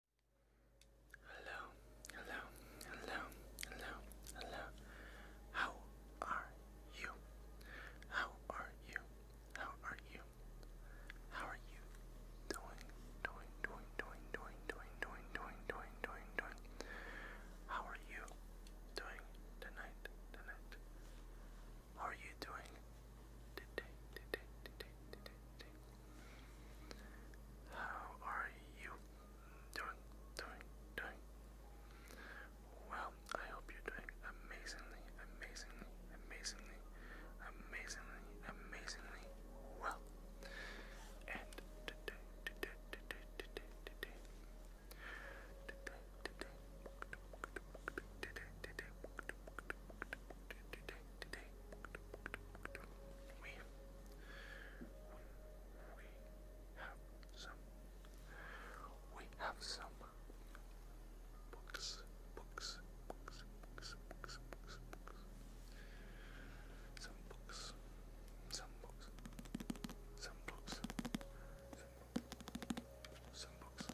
Hello, hello, hello, hello, hello. How are you? How are you? How are you? How are you doing? Doing, doing, doing, doing, doing, doing, doing, doing, doing, doing. How are you doing tonight? Tonight. How are you doing today? Today, today, today, today. How are you doing? Doing? Doing? Well, I hope you're doing amazingly, amazingly, amazingly, amazingly, amazingly well. And today we we have some we have some books books books books books books some books some books some books some books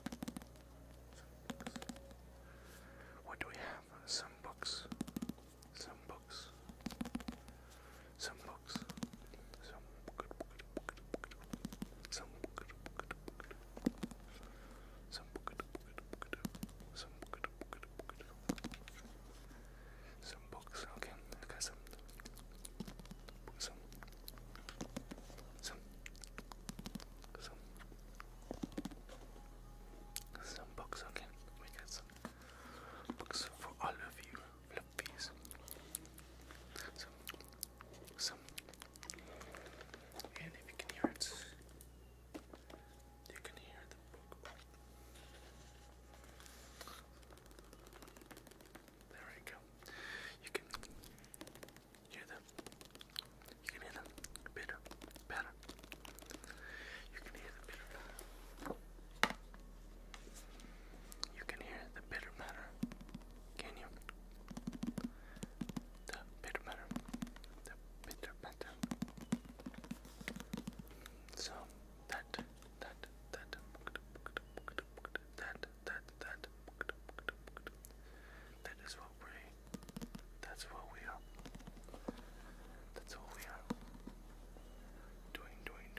what do we have have some books, some books, some books, some good, some good, some good, some good, some books. Okay, I got some, some, some, some some books, okay? We got some books for all of you fluffies. Some, some, and if you can hear it, you can hear the book. There we go. You can hear the you can hear them bitter, better. You can hear the bitter matter. You can hear the bitter matter. Can you? The bitter matter. The bitter matter. So that that that that that that that that is what that's what we are. That's what we are. Doing, doing,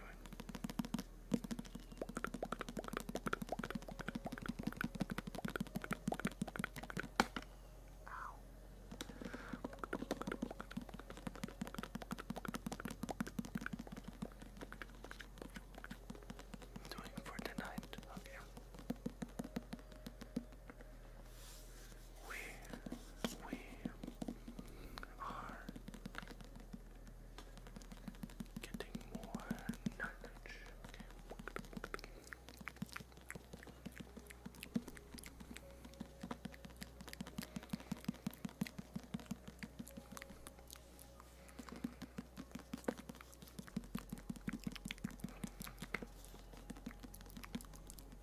Doing for tonight, okay. We we are getting more knowledge.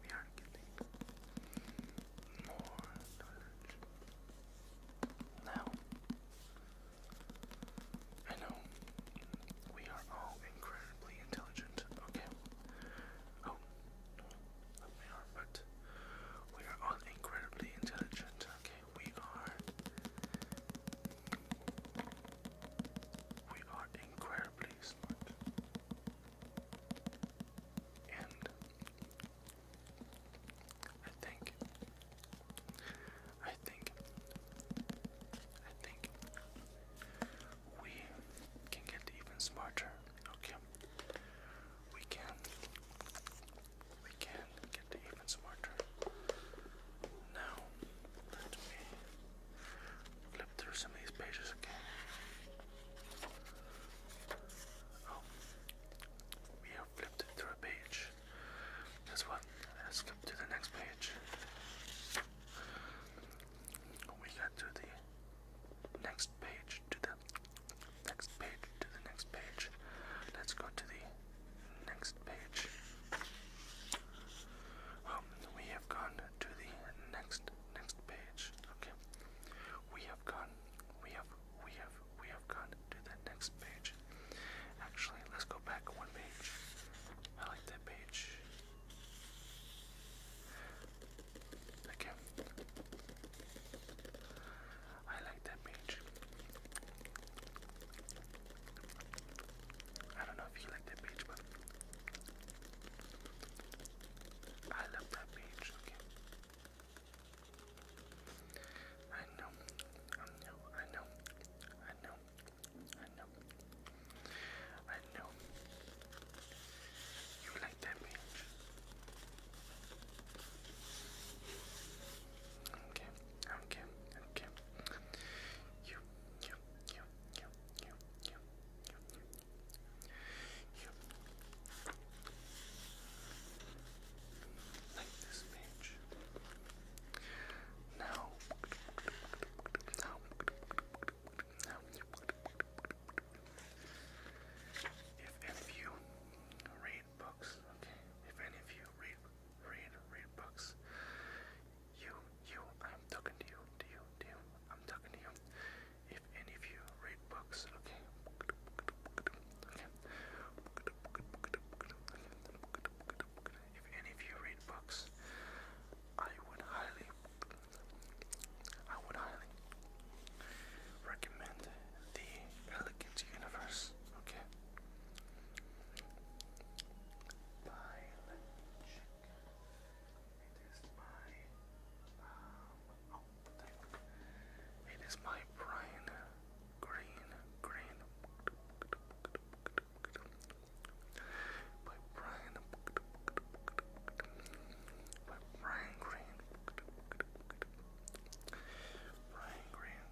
We are getting more knowledge. Now, I know we are all incredibly intelligent, okay? Oh, no, we are, but we are all incredibly intelligent, okay? We are we are incredibly smart. And I think, I think, I think we can get even smarter. Okay, we can, we can get even smarter. Now, let me flip through some of these pages again. Oh, we have flipped through a page. Guess what? Let's skip to the next page. we got to the next page, to the next page, to the next page. Let's go to the next page. Um, we gone to the next next page. Okay. We have gone we have we have we have gone to the next page. Actually, let's go back one page. I like that page. Okay. I like that page. I don't know if you like that page, but I love that page, okay? I know, I know, I know, I know, I know, I know. You like that page. Okay, okay, okay. You, you, you, like this page. Now, now, now. If any of you read books, okay. If any of you read, read, read books, you, you, I'm talking to you, to you, to you, I'm talking to you. If any of you read books, okay? Okay. If any of you read books, I would highly, I would highly recommend the Elegant Universe. Okay. It is my um oh it is my brine green green my green brine green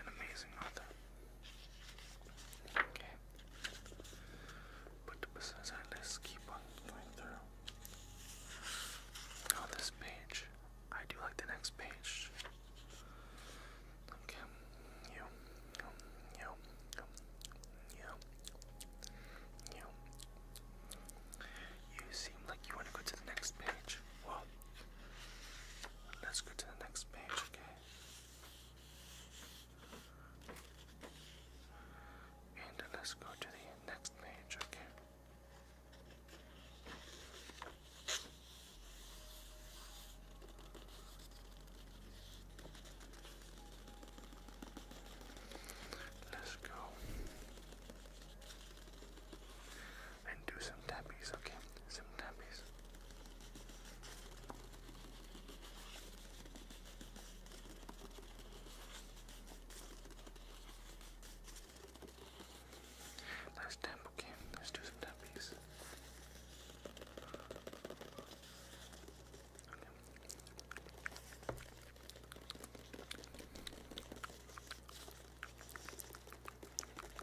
an amazing author. Okay. Put the business aside. keep on going through. On this page, I do like the next page. Okay. You. You. You. You. You. You seem like you want to go to the next page. Well, let's go to the next page, okay? And let's go to the next page, okay? Let's go and do some tappies, okay? some nappies. Nice tempo game. Let's do some nappies. And tap, tap, tap, tap, tap,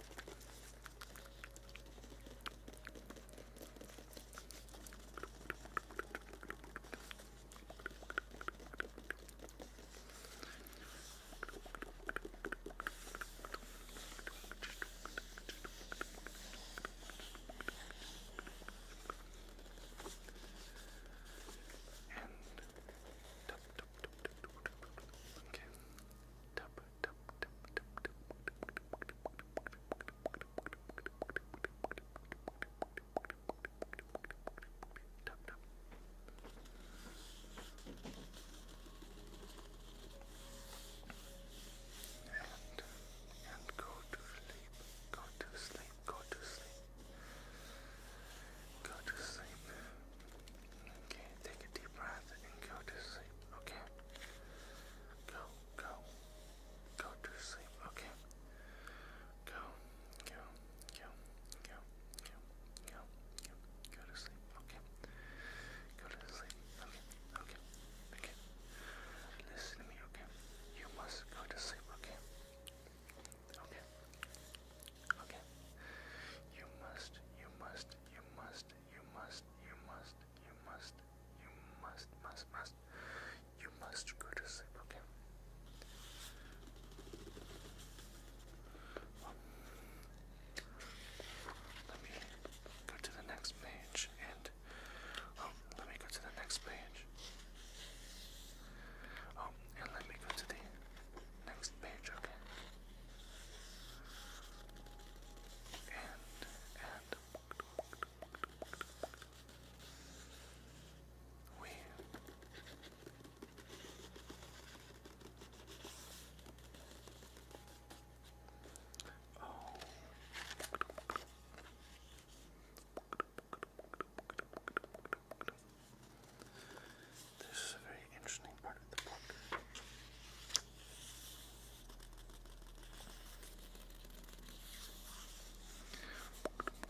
tap, tap, okay. Tap, and, and go to sleep, go to sleep, go to sleep, go to sleep, Okay, take a deep breath and go to sleep, okay? Go, go, go to sleep, okay? Go, go, go, go, go, go, go, to sleep, okay? Go to sleep, okay, okay, okay. Listen to me, okay? You must go to sleep, okay? Okay. Okay. You must, you must, you must, you must, you must, you must, you must, must, must, you must go to sleep, okay? let me go to the next page and oh, let me go to the next page. Oh, and let me go to the next page, okay? And, and we oh this is a very interesting part of the book. Okay, okay,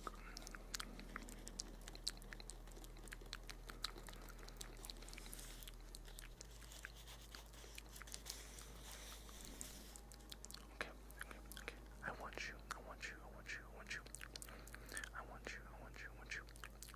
okay. I want you, I want you, I want you, I want you. I want you, I want you,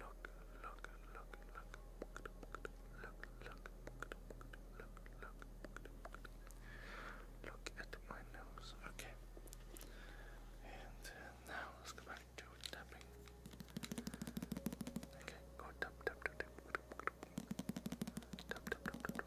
look, look, look, look, look, look, look, look, look at my nose. Okay. And now let's go back to tapping. Okay, go tap, tap, tap, tap, tap, tap, tap, tap.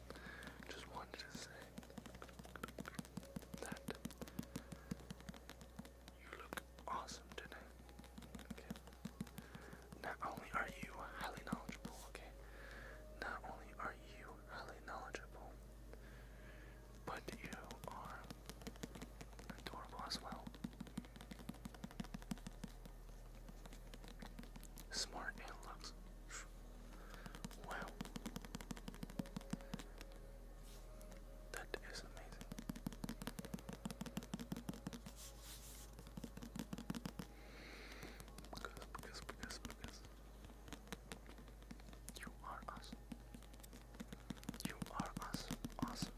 just wanted to say that you look awesome today. Not only are you highly knowledgeable, okay? Not only are you highly knowledgeable, but you are adorable as well. Smart and looks Wow. That is amazing. Because, because, because, because. You are awesome. You are awesome. Awesome.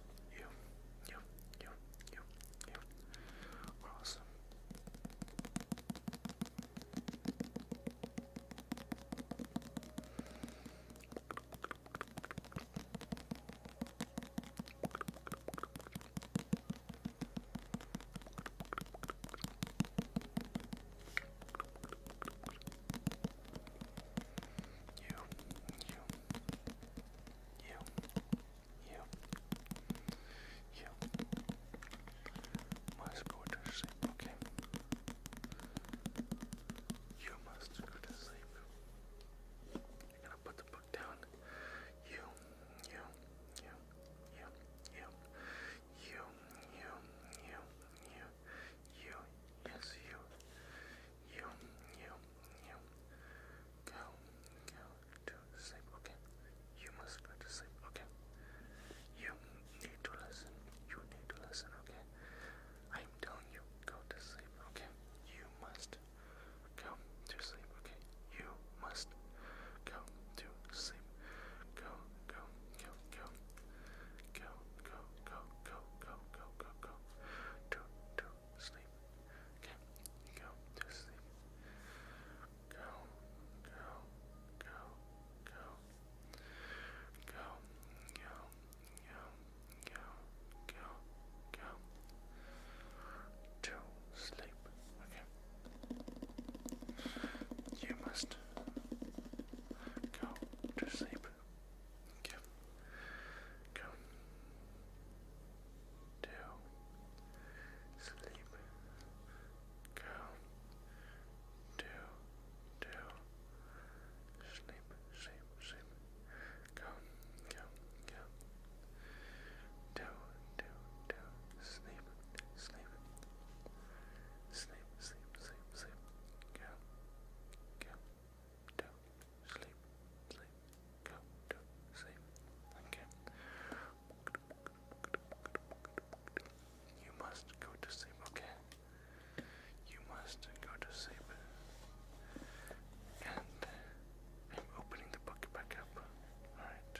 You, you, you, you, you. We're awesome. You, you, you, you, you must go to sleep, okay? You must go to sleep. You're gonna put the book down. you, you, you, you, you, you, you, you, you, yes, you, you, you, you. Go, go to sleep, okay? You must go to sleep, okay? You need to listen, you need to listen, okay? I'm telling you, go to sleep, okay? You must go to sleep, okay? You must go to sleep. Go, go, go, go. Go, go, go, go, go, go, go, go to, to sleep. Okay, go to sleep. Go, go, go, go. Go, go, go, go, go, go. To sleep. Okay. You must go to sleep up. Okay. Go. Do. Sleep. Go. Do. Do. Sleep. Sleep. Sleep. Go. Go. Go. Do. Do. Do. Sleep. Sleep. Sleep. Sleep. Sleep. Go. Go to sleep, sleep, go to sleep. Okay. You must go to sleep, okay? You must go to sleep. And I'm opening the book back up. Alright.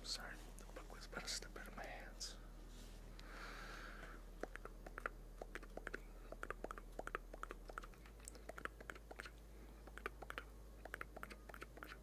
I'm sorry, the book was about to slip out of my hands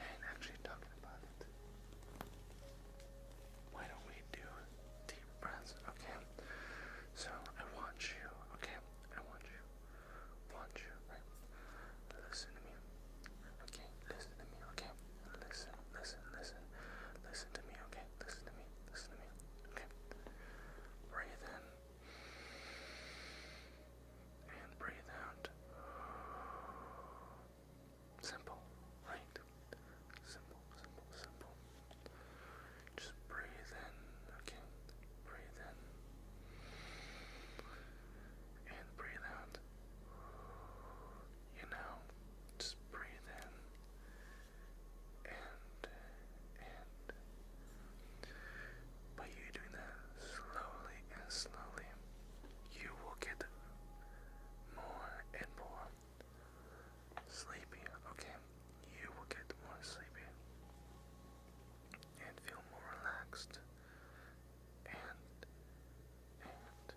And actually talking about it. Why don't we do deep breaths, okay? So I want you, okay? I want you. Want you, right? Listen to me. Okay, listen to me, okay? Listen, listen, listen. Listen to me, okay? Listen to me, listen to me, okay? Breathe in. And breathe out. Simple, right? Simple, simple, simple. Just breathe in, okay? Breathe in. And breathe out. You know, just breathe in. And, and. But you doing that slowly and slowly you will get more and more sleepy, okay? You will get more sleepy and feel more relaxed and and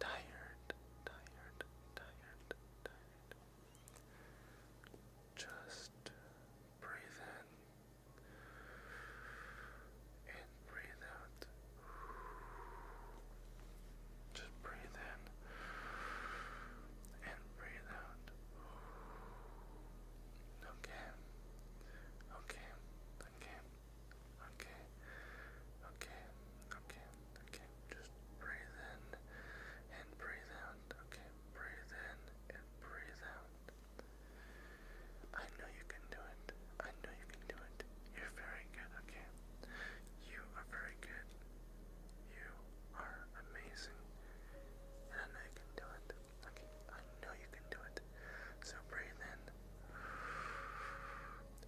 tired, tired, tired, tired. Just breathe in and breathe out. Just breathe in and breathe out. Okay. Okay. Okay. Okay. Okay. Okay. Okay. Just breathe in and breathe out. Okay. Breathe in and breathe out. I know you can do it. I know you can do it. You're very good, okay? You are very good. You are amazing. And I know you can do it. Okay, I know you can do it. So breathe in.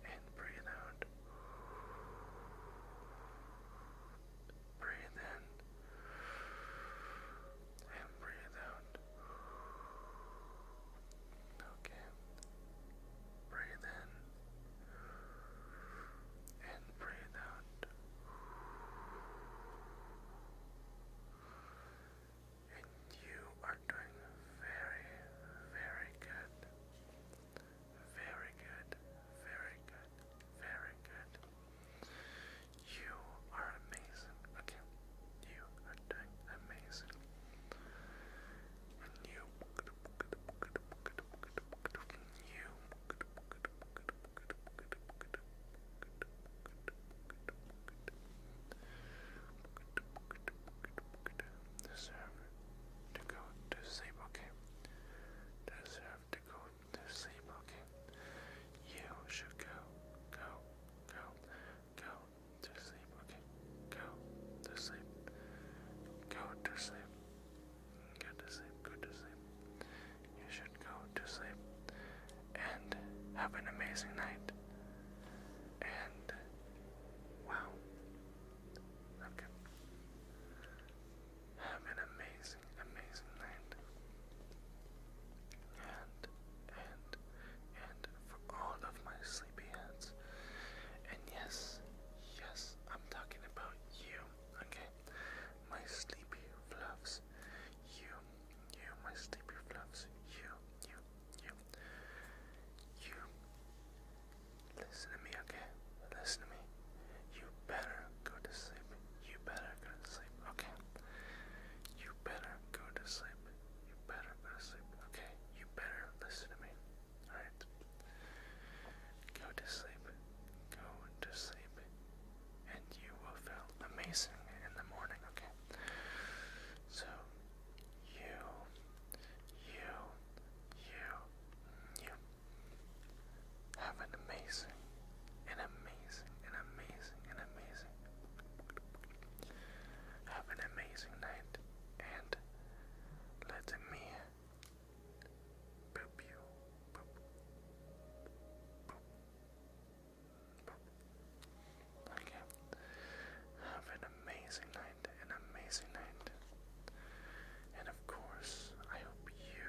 And breathe out. Breathe in. And breathe out. Okay. Breathe in and breathe out. And you are doing very, very good. Very good, very good, very good. You are amazing. Okay. You are amazing. you deserve to go to sleep, okay? Deserve to go to sleep, okay? You should go, go, go, go to sleep, okay? Go to sleep. Go to sleep. Go to sleep, go to sleep. You should go to sleep and have an amazing night. And wow. Okay. Have an amazing, amazing night and, and, and for all of my sleepy heads. And yes, yes, I'm talking about you, okay? My sleepy fluffs. You, you, my sleepy fluffs. You, you, you. You. Listen to me, okay? Listen to me. You better go to sleep you better go to sleep. Okay. You better go to sleep. You better go to sleep. Okay. You better listen to me. Alright. Go to sleep. Go to sleep. And you will feel amazing in the morning, okay? So you you you you have an amazing an amazing an amazing an amazing have an amazing night and let me Okay. Have an amazing night, an amazing night. And of course, I hope you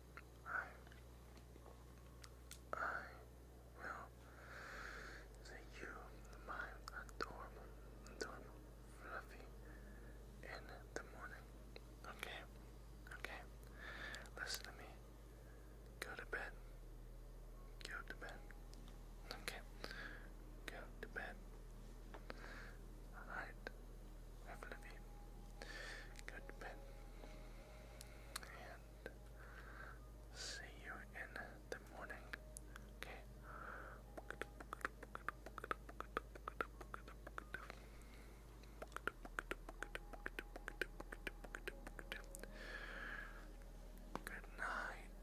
I, I will say you, my adorable, adorable fluffy, in the morning. Okay, okay. Listen to me. Go to bed. Go to bed. Okay. Go to bed. Alright. Definitely. Good pet. see you in the morning. Okay. Good night.